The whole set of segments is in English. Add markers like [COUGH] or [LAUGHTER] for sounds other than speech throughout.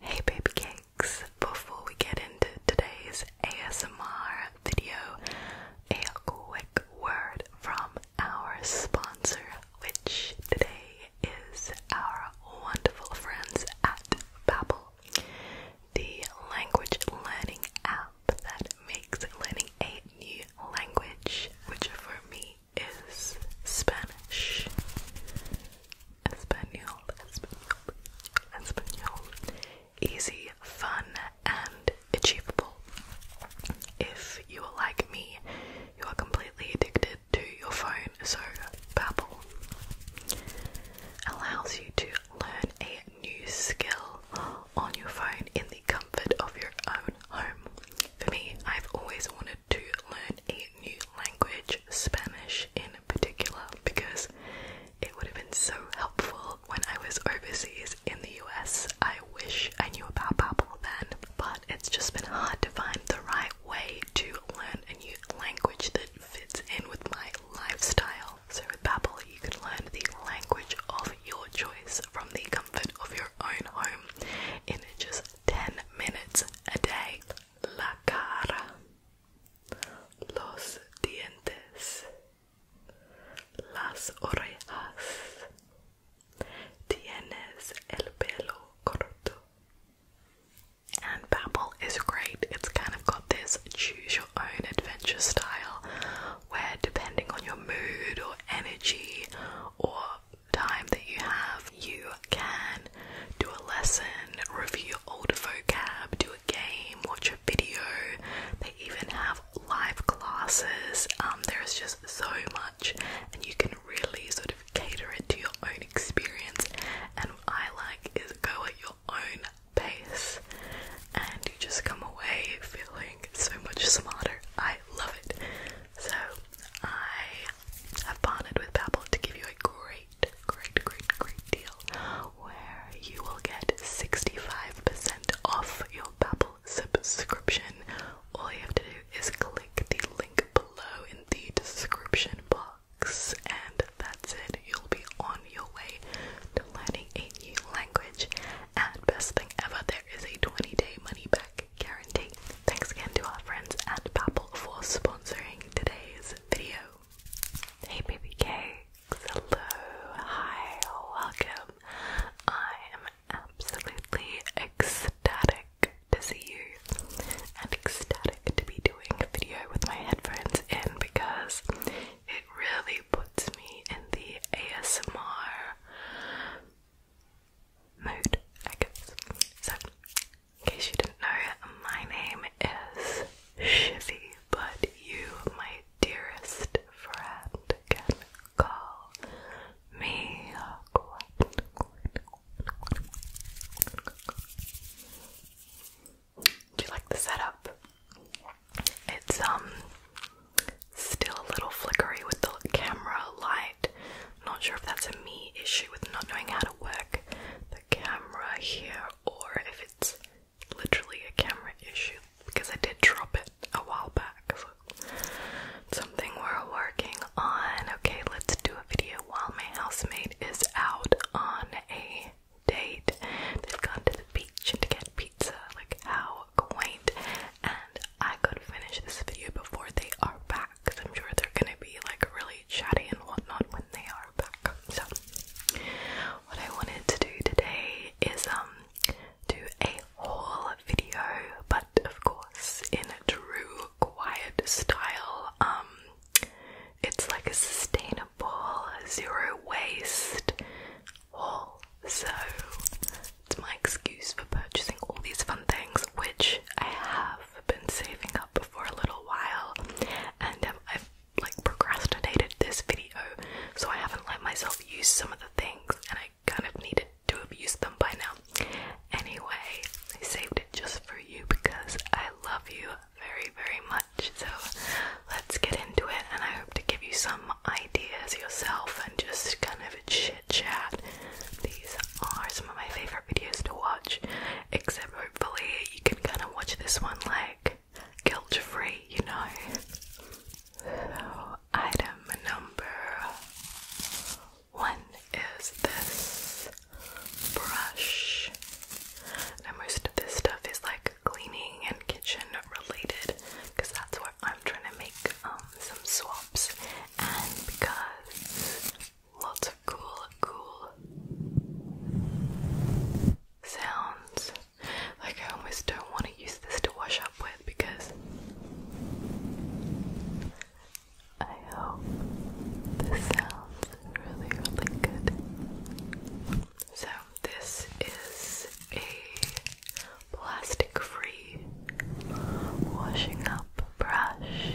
Hey baby cakes, before we get into today's ASMR video, a quick word from our sponsor, which today is our wonderful friends at Babbel, the language learning app that makes learning a new language, which for me is Spanish. Espanol, Espanol, Espanol. Easy, fun, and achievable. If you are like me, you are completely addicted to your phone, so Babbel allows you to learn a new skill on your phone in the comfort of your own home. For me, I've always wanted to learn a new language, Spanish in particular, because it would have been so helpful when I was overseas in the US. I wish I knew about Babbel then, but it's just been hard to find the right way to learn a new language that fits in with my lifestyle. So with Babbel, you can learn the language of your choice from the comfort of your own home in just 10 minutes a day la cara, los dientes, las orejas. Tienes el pelo corto. And Babbel is great. It's kind of got this choose your own adventure style where depending on your mood or energy or time that you have, you can do a lesson, review old vocab, do a game, watch a video. They even have live classes. Um, there is just so much, and you can really sort of cater it to your own experience. And what I like is go at your own pace, and you just come away feeling so much smarter. I love it. So I have partnered with Babbel to give you a great, great, great, great deal where you will get 65% off your Babbel subscription. All you have to do is click the link below in the description box and that's it. You'll be on your way to learning a new language and best thing ever, there is a 20-day money back guarantee. Thanks again to our friends at Babbel for sponsoring today's video. Hey baby cakes, hello, hi, welcome. I am absolutely ecstatic to see you and ecstatic to be doing a video with my headphones in because it really puts me in the ASMR mood, I guess. So, in case you didn't know, my name is Shivy, but you, my dearest friend, can call me Quentin. Do you like the setup? It's um still a little flickery with the camera light, not sure if that's a me issue with not knowing how to work the camera here or if it's literally a camera issue because I did drop it a while back. something we're working on. Okay, let's do a video while my housemate is out on a date. They've gone to the beach and to get pizza. Like, how quaint. And I could finish this video before they are back because I'm sure they're gonna be like really chatty and whatnot when they are back. So, what I wanted to do today is um do a haul video, but of course in a true quiet style. Um, it's like a sustainable zero waste haul. So it's my excuse for purchasing all these fun things, which I have have been saving up for a little while and I've like procrastinated this video so I haven't let myself use some of the things and I kind of needed to have used them by now. Anyway, I saved it just for you because I love you very very much so let's get into it and I hope to give you some ideas yourself and just kind of chit chat. These are some of my favorite videos to watch, except hopefully you can kind of watch this one like guilt free, you know. item number one is this brush. Now, most of this stuff is like cleaning and kitchen related because that's where I'm trying to make um, some swaps, and because lots of cool, cool sounds. Like, I almost don't want to use this to wash up with because I hope this sounds really, really good. So, this is a plastic free washing up brush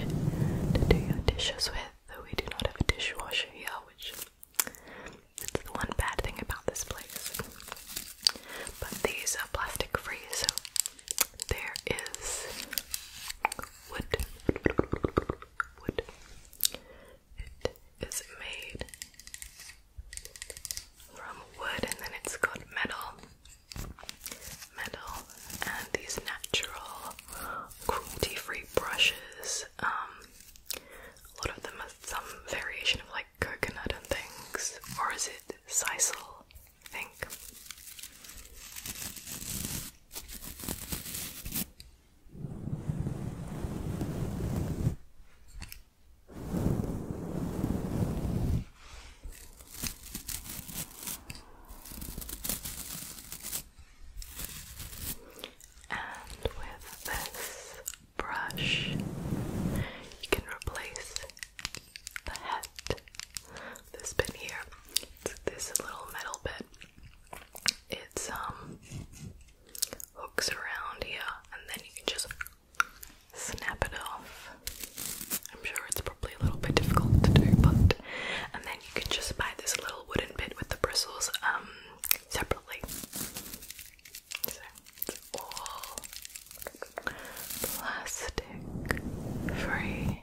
to do your dishes with. We do not have a dishwasher here, which it's the one bad thing about this place. But these are plastic free, so there is wood. Wood. It is made from wood and then it's got metal metal and these natural cruelty-free brushes. Um, a lot of them are some variation of like coconut and things, or is it sisal? I think. And with this brush, you can replace the head, this bit here, it's this little metal bit. It's um hooks around here, and then you can just snap it off. I'm sure it's probably a little bit difficult to do, but and then you can just buy this little wooden bit with the bristles um, separately. So it's all plastic free.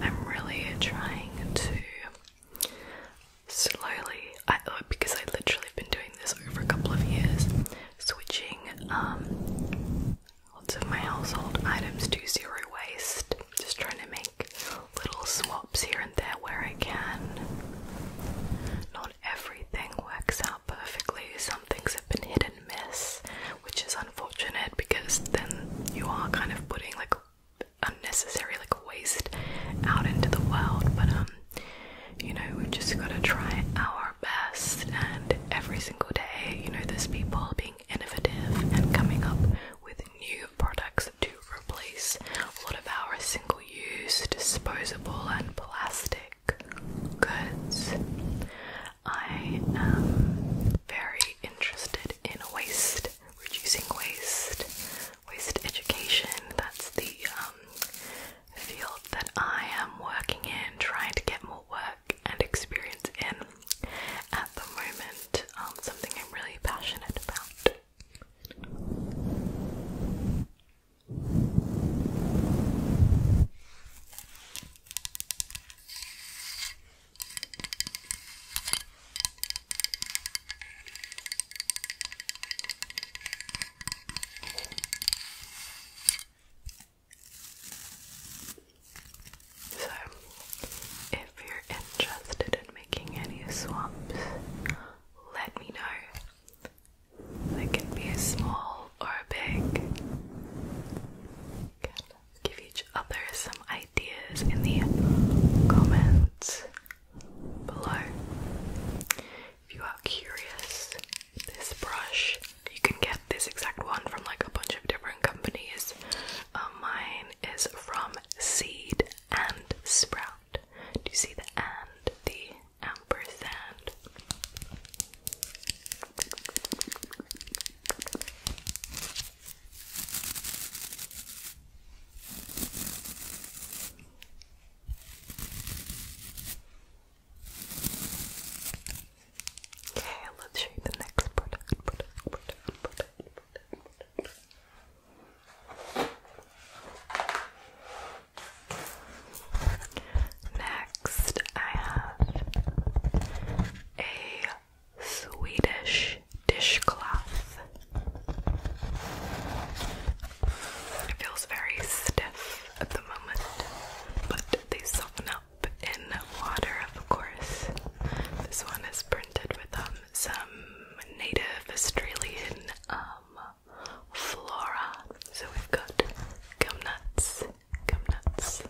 I'm really trying to slowly oh, because I literally have been doing this over a couple of years switching um, lots of my household items to zero waste. Just trying to make little swaps here and there where I can. Not everything works out perfectly, some things have been hit and miss, which is unfortunate because then you are kind of putting like unnecessary like waste out into the world, but um you know, we've just got to try our best. And every single day, you know, there's people being innovative and coming up with new products to replace a lot of our single use, disposable, and plastic goods. I am very interested in waste, reducing waste, waste education. That's the um, field that I am working in, trying to get more work and experience in at the moment. Um, something I'm really passionate about. So, if you're interested in making any swamps, let me know. They can be small or big. give each other some ideas in the comments below. If you are curious, this brush, you can get this exact one from like a bunch of different companies. Um, mine is from Seed and Sprout. Do you see the and? The ampersand. Okay, let's show you the next product. Next, I have a Swedish dishcloth. It feels very stiff rough at the moment, but they soften up in water, of course. This one is printed with um, some native Australian um, flora. So we've got gum nuts, gum nuts.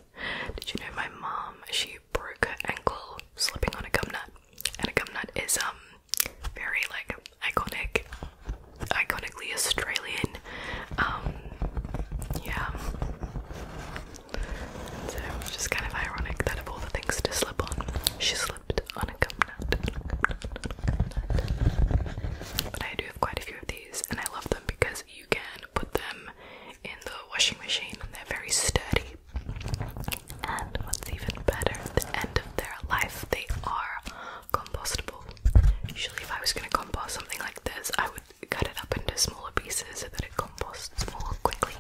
Did you know my mom? She broke her ankle slipping on a gum nut, and a gum nut is um very like iconic, iconically Australian. Um, yeah. so it just kind of ironic that of all the things to slip on, she slipped on a coconut. But I do have quite a few of these, and I love them because you can put them in the washing machine, and they're very sturdy. And what's even better, at the end of their life, they are compostable. Usually if I was gonna compost something like this, I would cut it up into smaller pieces so that it composts more quickly.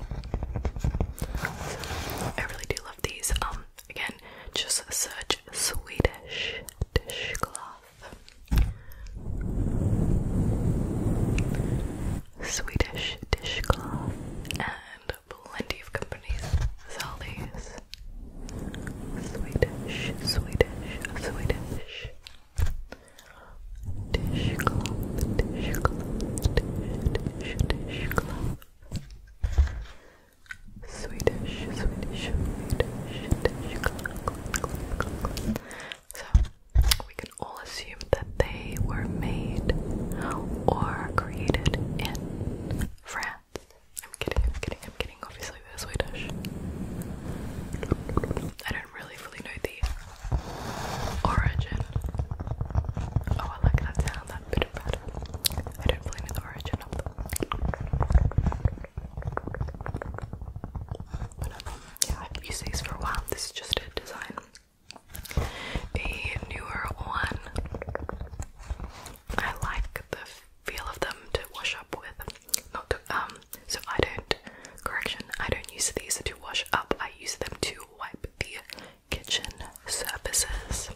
I really do love these. Um again, just search Swedish dishcloth. Swedish dishcloth and plenty of companies sell these. Swedish, Swedish, Swedish. Dishcloth, dishcloth, dish, dish, dishcloth. Swedish, Swedish, Swedish, dishcloth. So, we can all assume that they were made or created in France. I'm kidding, I'm kidding, I'm kidding. Obviously, they're Swedish. I don't really fully know the origin. Oh, I like that sound, that bit of I don't really know the origin of them. But, yeah, I've used these for a while. This is just a design. A newer one. I like the feel of them to wash up with. Not um. So I don't. Correction. I don't use these to wash up. I use them to wipe the kitchen surfaces,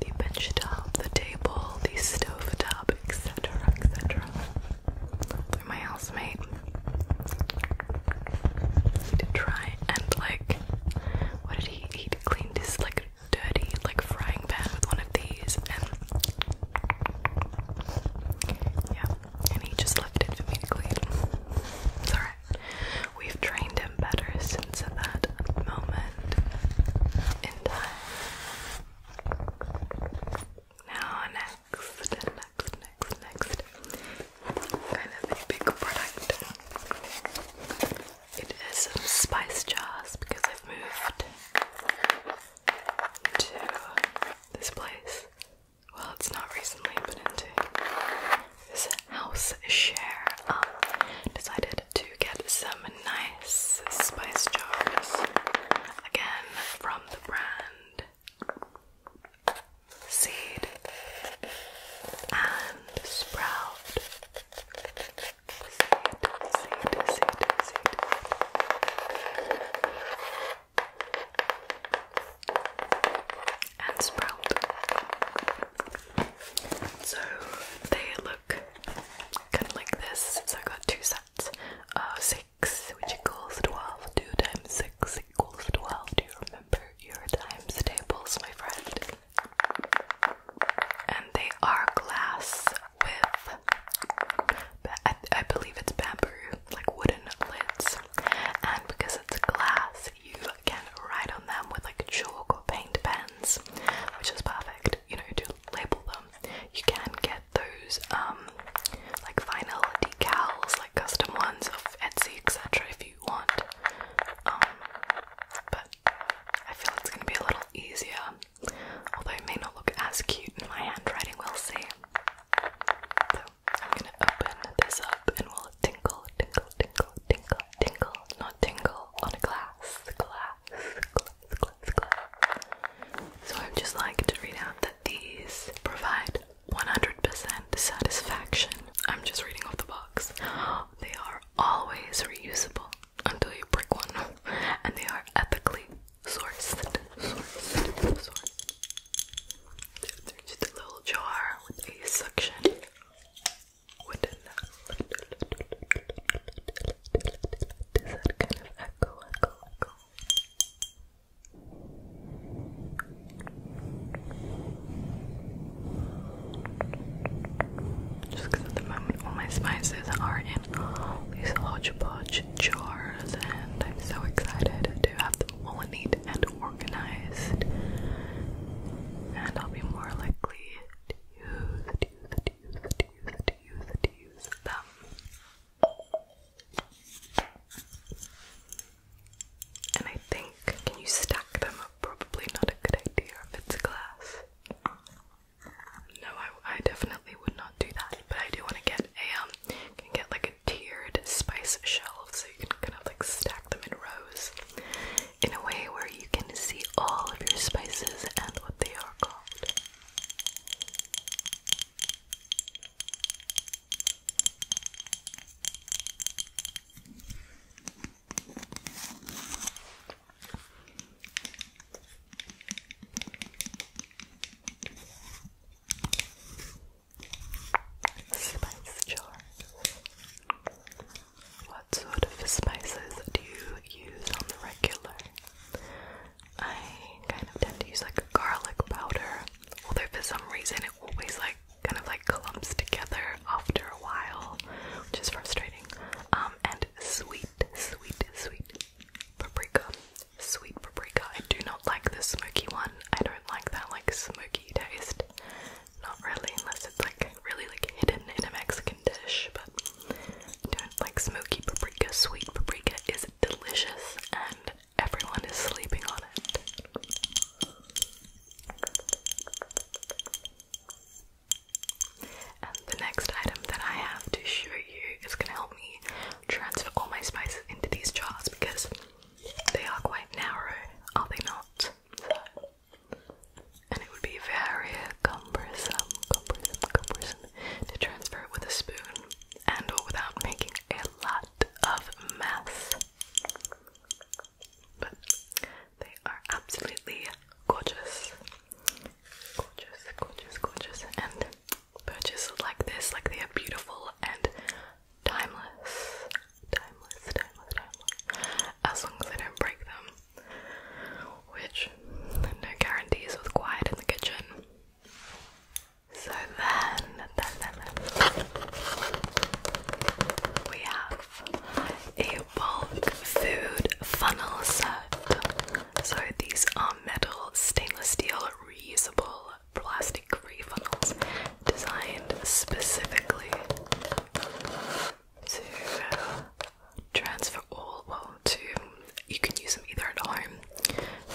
the bench top, the table, the stove top, etc., etc. my housemate to try and like, what did he? He cleaned his like like dirty like frying pan with one of these and yeah and he just left it for me to clean it's alright we've trained him better since that moment in time now next next next next kind of big product it is some spice jars because I've moved to this place. Well, it's not recently, but into this house share. Um, decided to get some nice spice jars again from the brand Seed and Sprout and sprout. So they look kind of like this. So I got two sets of six, which equals twelve. Two times six equals twelve. Do you remember your times tables, my friend? and they are glass with, I, believe it's bamboo, like wooden lids. And because it's glass, you can write on them with like chalk or paint pens, which is perfect, you know, to label them. You can get those, um, like vinyl decals, like custom ones of Etsy, etc., if you want. Um, but I feel it's gonna be a little easier, although it may not look as cute in my handwriting, we'll see. So I'm gonna open this up and we'll tinkle, tinkle, tinkle, tinkle, tinkle, not tingle on a glass, glass, glass, glass, glass. So I'd just like to read out that these provide 100% satisfaction. I'm just reading off the box. [GASPS] They are always reusable until you break one, and they are ethically sourced. They're just a little jar with a suction. Just at the moment all my spices are in these hodgepodge jars, and I'm so excited to have them all neat and organized. And I'll be more likely to use, to use, to use, to use, to use, them. And I think, can you stack them up? Probably not a good idea if it's glass. No, I, definitely would not do that. But I do want to get a um, get like a tiered spice shelf so you can kind of like stack them in rows in a way where you can see all of your spices and what they are called. Spice jar. What sort of spices do you use on the regular? I kind of tend to use like garlic powder, although for some reason it always like kind of like clumps together after a while, which is frustrating. Um, and sweet, sweet, sweet, paprika. Sweet paprika. I do not like the smoky one. I don't like that like smoky taste. Not really, unless it's like really like hidden in a Mexican dish, but I don't like smoky paprika. Sweet paprika is delicious and everyone is sleeping on it. And the next item that I have to show you is gonna help me transfer all my spices into these jars because they are quite narrow, are they not? and it would be very cumbersome, cumbersome, cumbersome to transfer it with a spoon and or without making a lot of mess but they are absolutely gorgeous. Gorgeous, gorgeous, gorgeous. And purchases like this, like they are beautiful and timeless. Timeless, timeless, timeless. As long as I don't break them. Which no guarantees with quiet in the kitchen. So then, then, then we have a bulk food funnel set. So these are metal, stainless steel, reusable plastic free funnels designed specifically to transfer all well to you can use them either at home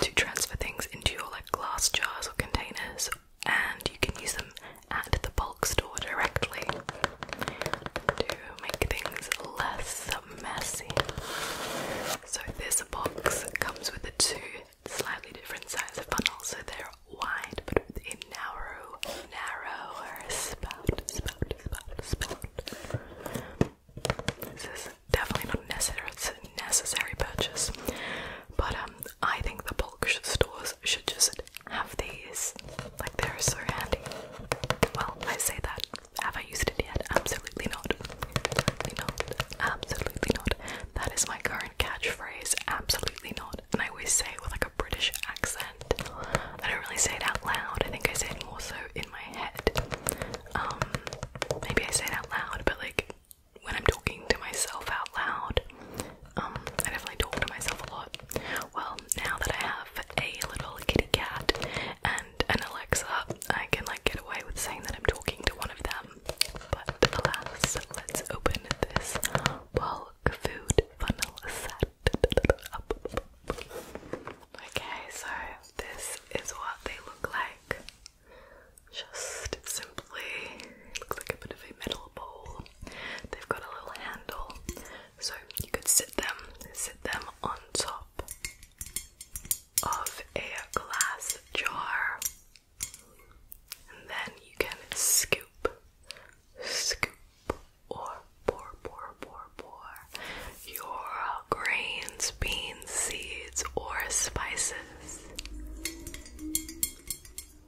to transfer things into your like glass jars or containers and you can use them at the bulk store directly to make things less messy. So, this box comes with the two slightly different sizes of funnels, so they're wide but with a narrow, narrower spout, spout, spout, spout. This is definitely not necessary, it's a necessary purchase, but um, I think the bulk stores should just have these. Like, they're so handy. Well, I say that. Have I used it yet? Absolutely not. Absolutely not. Absolutely not. That is my current catchphrase. Absolutely not. And I always say it with like a British accent. I don't really say it out loud. I think I say it more so in my head. Um, maybe I say it out loud, but like when I'm talking to myself out loud, um, I definitely talk to myself a lot. Well, now that I have a little kitty cat and an Alexa, I can like get away with saying that I'm talking to one of them. But alas, let's open this bulk food funnel set Okay, so this is what they look like. Just simply, looks like a bit of a metal bowl. They've got a little handle so you could sit them, sit them on top of a glass jar, and then you can scoop, scoop, or pour, pour, pour, pour your grains, beans, seeds, or spices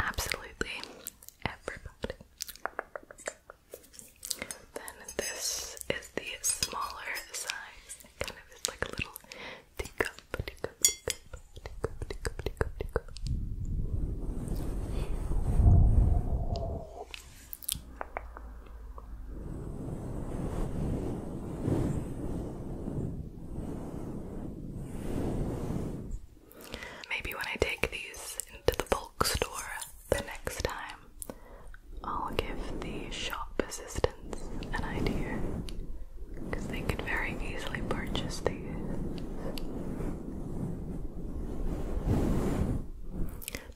absolutely everybody. Then this is the smaller size. kind of is like a little teacup. Maybe when I take these into the bulk store the next time, I'll give the shop assistants an idea because they could very easily purchase these.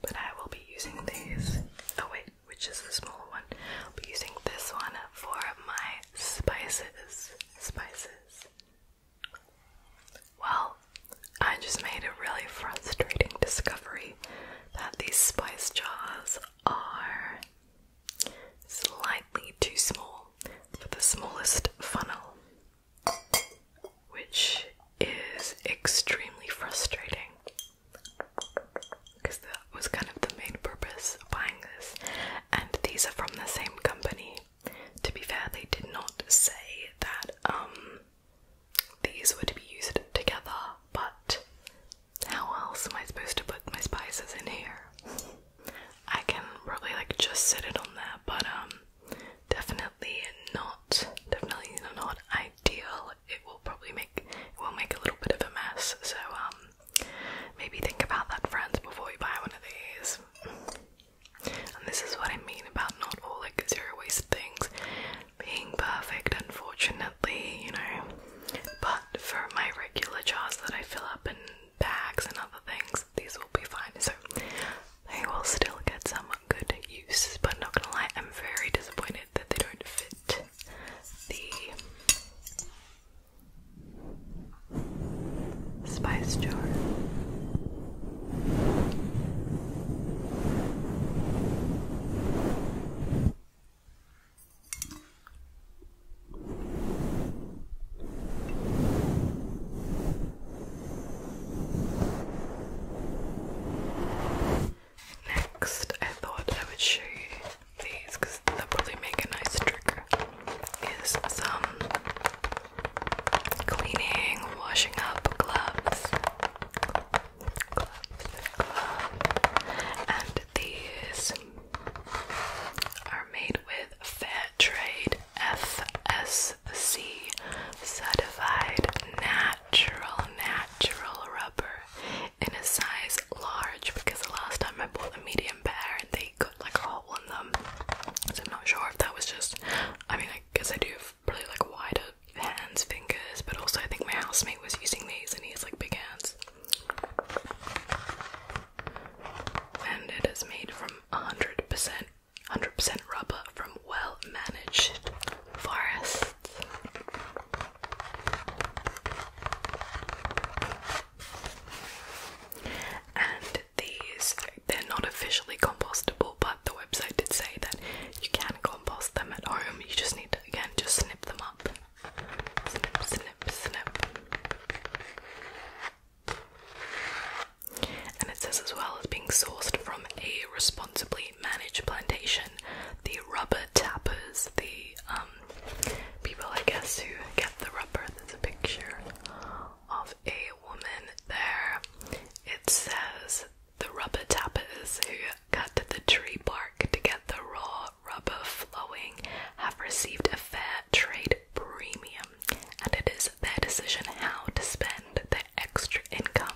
But I will be using these. Oh, wait, which is the small one? I'll be using this one for my spices spices. Well, I just made a really frustrating discovery that these spice jars are slightly too small for the smallest funnel, which is extremely frustrating because that was kind of the main purpose buying this, and these are from the same company. To be fair, they did not say that um, these were to be used together, but how else am I supposed to put my spices in here? [LAUGHS] I can probably like just set it on there, but um, definitely not definitely not ideal. It will probably make it will make a little bit of a mess, so um Maybe think about that, friends, before you buy one of these. And this is what I mean about not all like zero waste things being perfect, unfortunately, you know. But for my regular jars that I fill up in bags and other things, these will be fine. So they will still get some good use, but not gonna lie, I'm very disappointed that they don't fit the spice jar. Next, I thought I would show you these they probably make a nice trigger is some cleaning, washing up gloves. Gloves, gloves. And these are made with Fair Fairtrade FSC certified natural, natural rubber in a size large because the last time I bought a medium and they got like a hole in them. So I'm not sure if that was just I mean I guess I do have probably like wider hands, fingers, but also I think my housemate was using these and he has like big hands. And it is made from 100% 100% rubber from well managed forests. And these, they're not officially compostable, but the website did say that you can compost them at home. You just need to, again, just snip them up. Snip, snip, snip. And it says as well as being sourced from a responsibly managed plantation, the rubber tappers, the um, people, I guess, who get the rubber. There's a picture of a woman there. It says the rubber tappers who cut the tree bark to get the raw rubber flowing have received a fair trade premium, and it is their decision how to spend the extra income.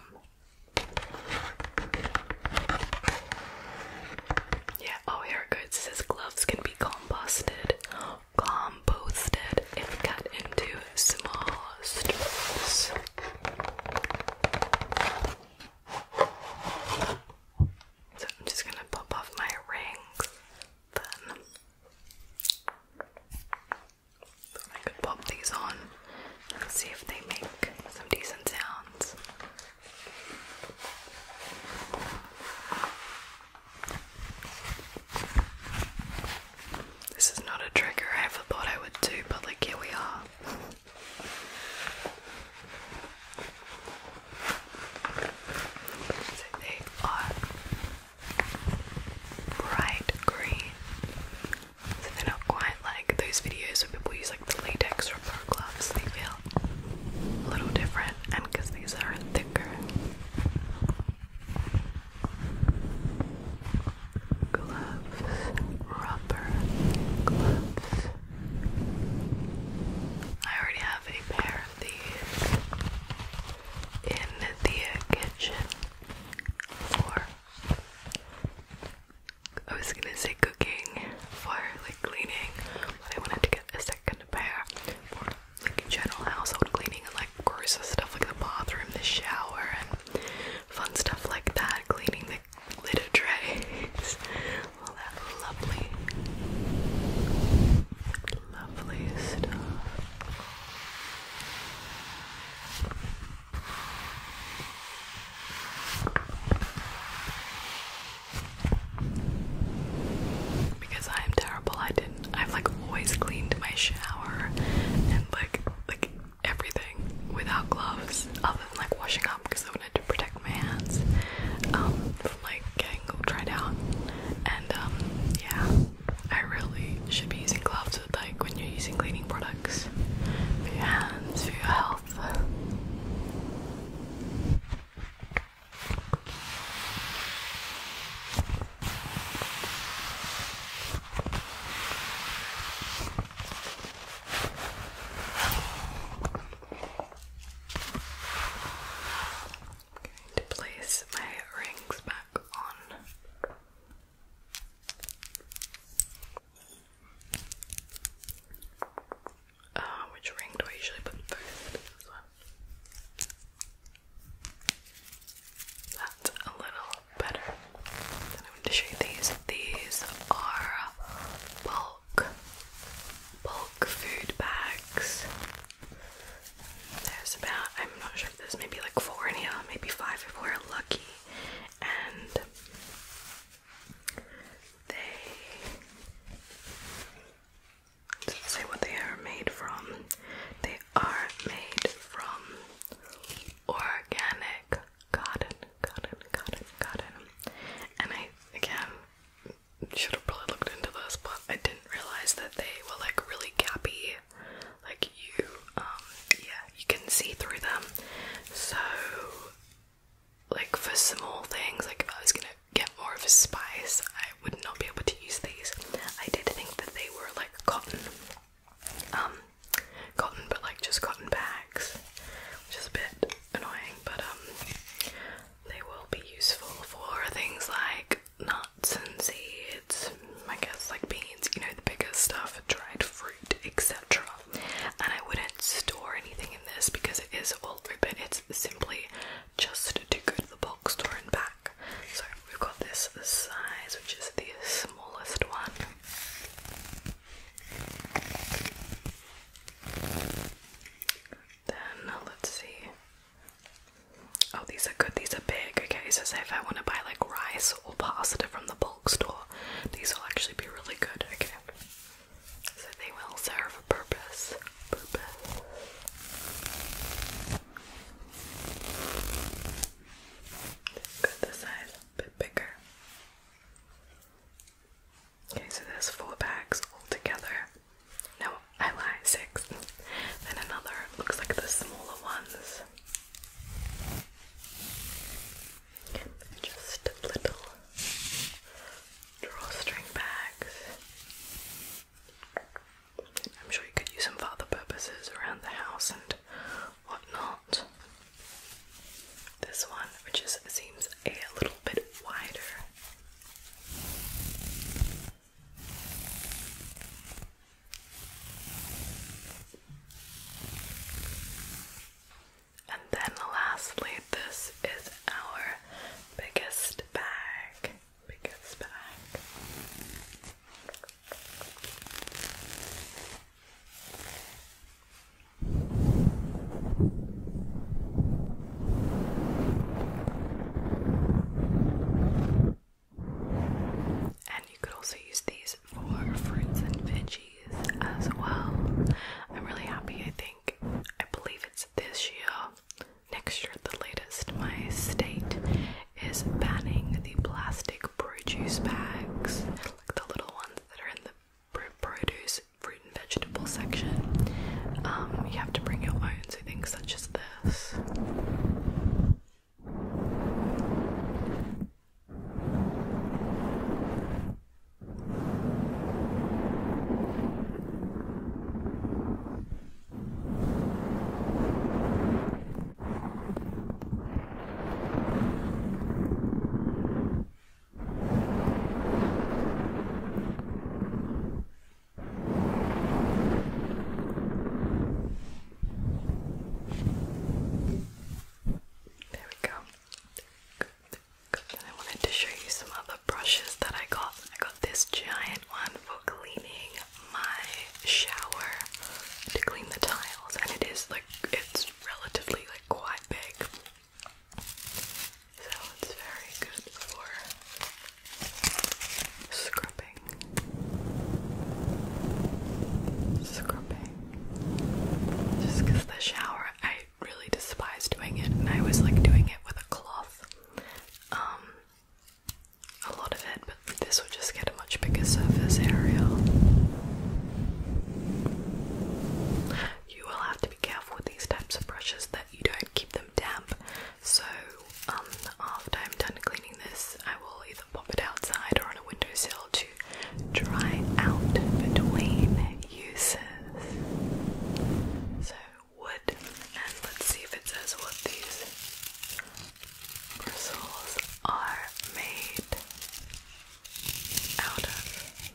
Yeah, all oh, here goods goes. says gloves can be composted, composted and cut into small strips. So I'm just gonna pop off my rings then. I could pop these on and see if they make some decent sounds. This is not a trigger I ever thought I would do, but like here we are. So they are bright green. So they're not quite like those videos where people use like the latex from gloves, they feel a little different, and because these are thicker. Gloves, rubber gloves. I already have a pair of these in the kitchen for. I was gonna say cooking for like cleaning, but I wanted to get a second compare for like general household cleaning and like grosser stuff like the bathroom, the shower, and fun stuff like that, cleaning the litter trays, all that lovely, lovely stuff. Because I am terrible. I didn't. I've like always cleaned my shower and like like everything without gloves, other than like washing up because I wanted to protect my hands um, from like getting dried out. And um, yeah, I really should be using gloves like when you're using cleaning products for your hands, for your health. I'm going to place my rings back on. Uh, which ring do I usually put first? That's a little better. I'm going to show you these. These are bulk, bulk food bags. There's about, I'm not sure there's maybe like four in here, maybe five if we're lucky. And they doesn't say what they are made from. They are made from organic cotton, cotton, cotton, cotton. And I again should have probably looked into this, but I didn't realize that they were like really gappy. Like you, um, yeah, you can see through them. So like for small things, like if I was gonna get more of a spice, I would not be able to use these. I did think that they were like cotton, um, cotton, but like just cotton bags, which is a bit annoying, but um, they will be useful for things like nuts and seeds, I guess, like beans, you know, the bigger stuff, dried fruit, etc. And I wouldn't store anything in this because it is old open, it's simply just to go to the bulk store and back. So we've got this size, which is the smallest one. Then let's see. Oh, these are good. These are big. Okay, so say if I want to buy like rice or pasta from the bulk store, these will actually be really good. Okay. So they will serve a purpose. Purpose. Got the size a bit bigger. Okay, so there's four bags all together. No, I lie, six. Then another looks like the smaller ones. Just little drawstring bags. I'm sure you could use them for other purposes around the house and whatnot. This one, which just seems a little bit wider. And then lastly, this is our biggest bag. Biggest bag. And you could also use these for fruits and veggies as well. I'm really happy. I think I believe it's this year, next year the latest. My state is banning the plastic produce bags, like the little ones that are in the produce, fruit and vegetable section. Um, you have to bring your own, so things such as this. There we go. Good. I wanted to show you some other brushes that I got. I got this giant one for cleaning my shower to clean the tiles, and it is like it's relatively like quite big. So it's very good for scrubbing. Scrubbing. Just the shower, I really despise doing it, and I was like doing it with a cloth. Um, a lot of it, but this would just get a much bigger surface area. You will have to be careful with these types of brushes that you don't keep them damp. So, um, after I'm done cleaning this, I will either pop it outside or on a windowsill to dry out between uses. So, wood, and let's see if it says what these bristles are made out of.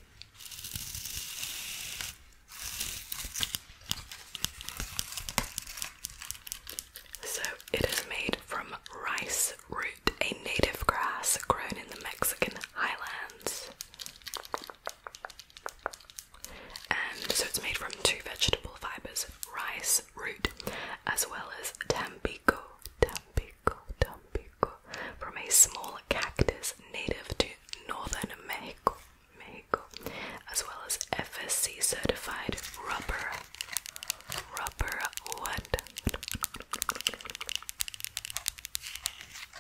So, it is made from rice root, a native grass grown in the Mexican highlands so it's made from two vegetable fibers, rice root, as well as tampico, tampico, tampico, from a small cactus native to northern Mexico, Mexico, as well as FSC certified rubber, rubber wood.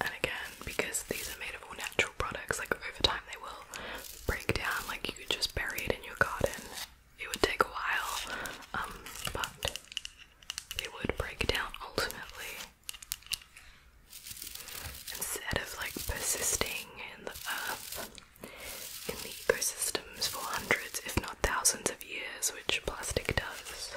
And again, because these are made of all natural products, like over time they will break down, like you could just bury it in your garden. It would take a while, um, but they would break down ultimately. Instead of like persisting in the earth, in the ecosystems for hundreds, if not thousands of years, which plastic does.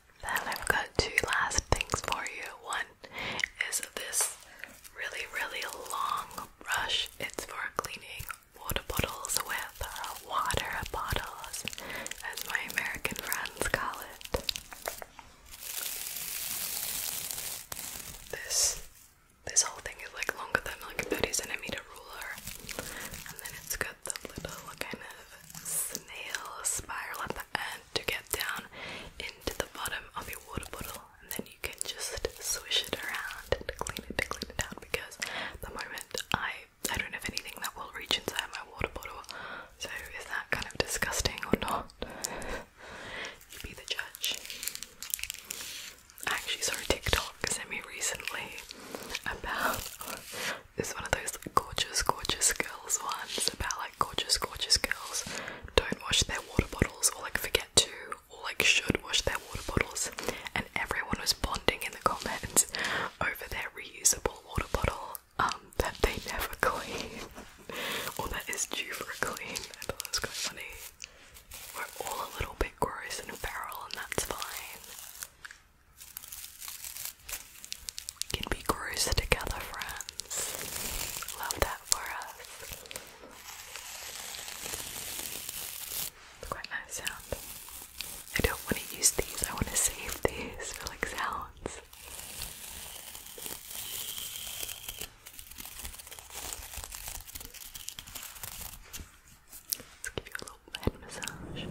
Then I've got two last things for you. One is this really, really long brush. It's for cleaning water bottles with uh, water bottles, as my American friends call it. This this whole thing is like longer than like a 30 centimeter ruler, and then it's got the little kind of snail spiral at the end to get down into the bottom of your water bottle, and then you can just swish it around and clean it, clean it out. Because the moment I I don't have anything that will reach inside my water bottle, so is that kind of disgusting or not? you be the judge. I actually saw a TikTok semi recently about it's one of those gorgeous, gorgeous girls ones about like gorgeous, gorgeous girls don't wash their water bottles or like forget to or like should wash their water bottles. And everyone was bonding in the comments over their reusable water bottle um, that they never [LAUGHS] clean or that is due for a clean. I thought that was quite funny. We're all a little bit gross and feral, and that's fine can be gross together, friends. Love that for us. It's quite nice sound. I don't want to use these, I want to save these for like sounds. Let's give you a little head massage.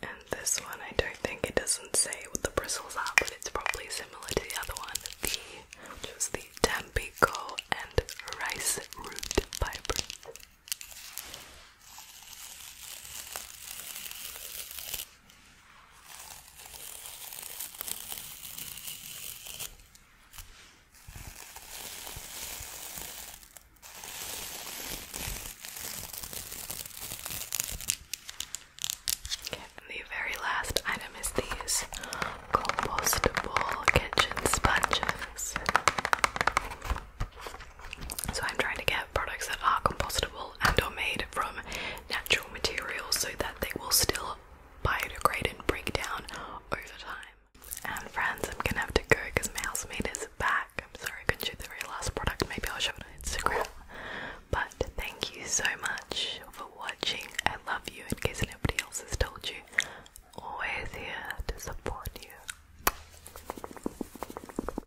And this one, I don't think it doesn't say what the bristles are, but it's probably similar to the other one, the which was the Tampico and rice root fiber the very last item is these compostable kitchen sponges. So I'm trying to get products that are compostable and are made from natural materials so that they will still biodegrade and break down over time. And friends, I'm gonna have to go because my made is back. I'm sorry I couldn't shoot the very last product, maybe I'll show it on Instagram. But thank you so much for watching. I love you in case nobody else has told you. Always here to support you.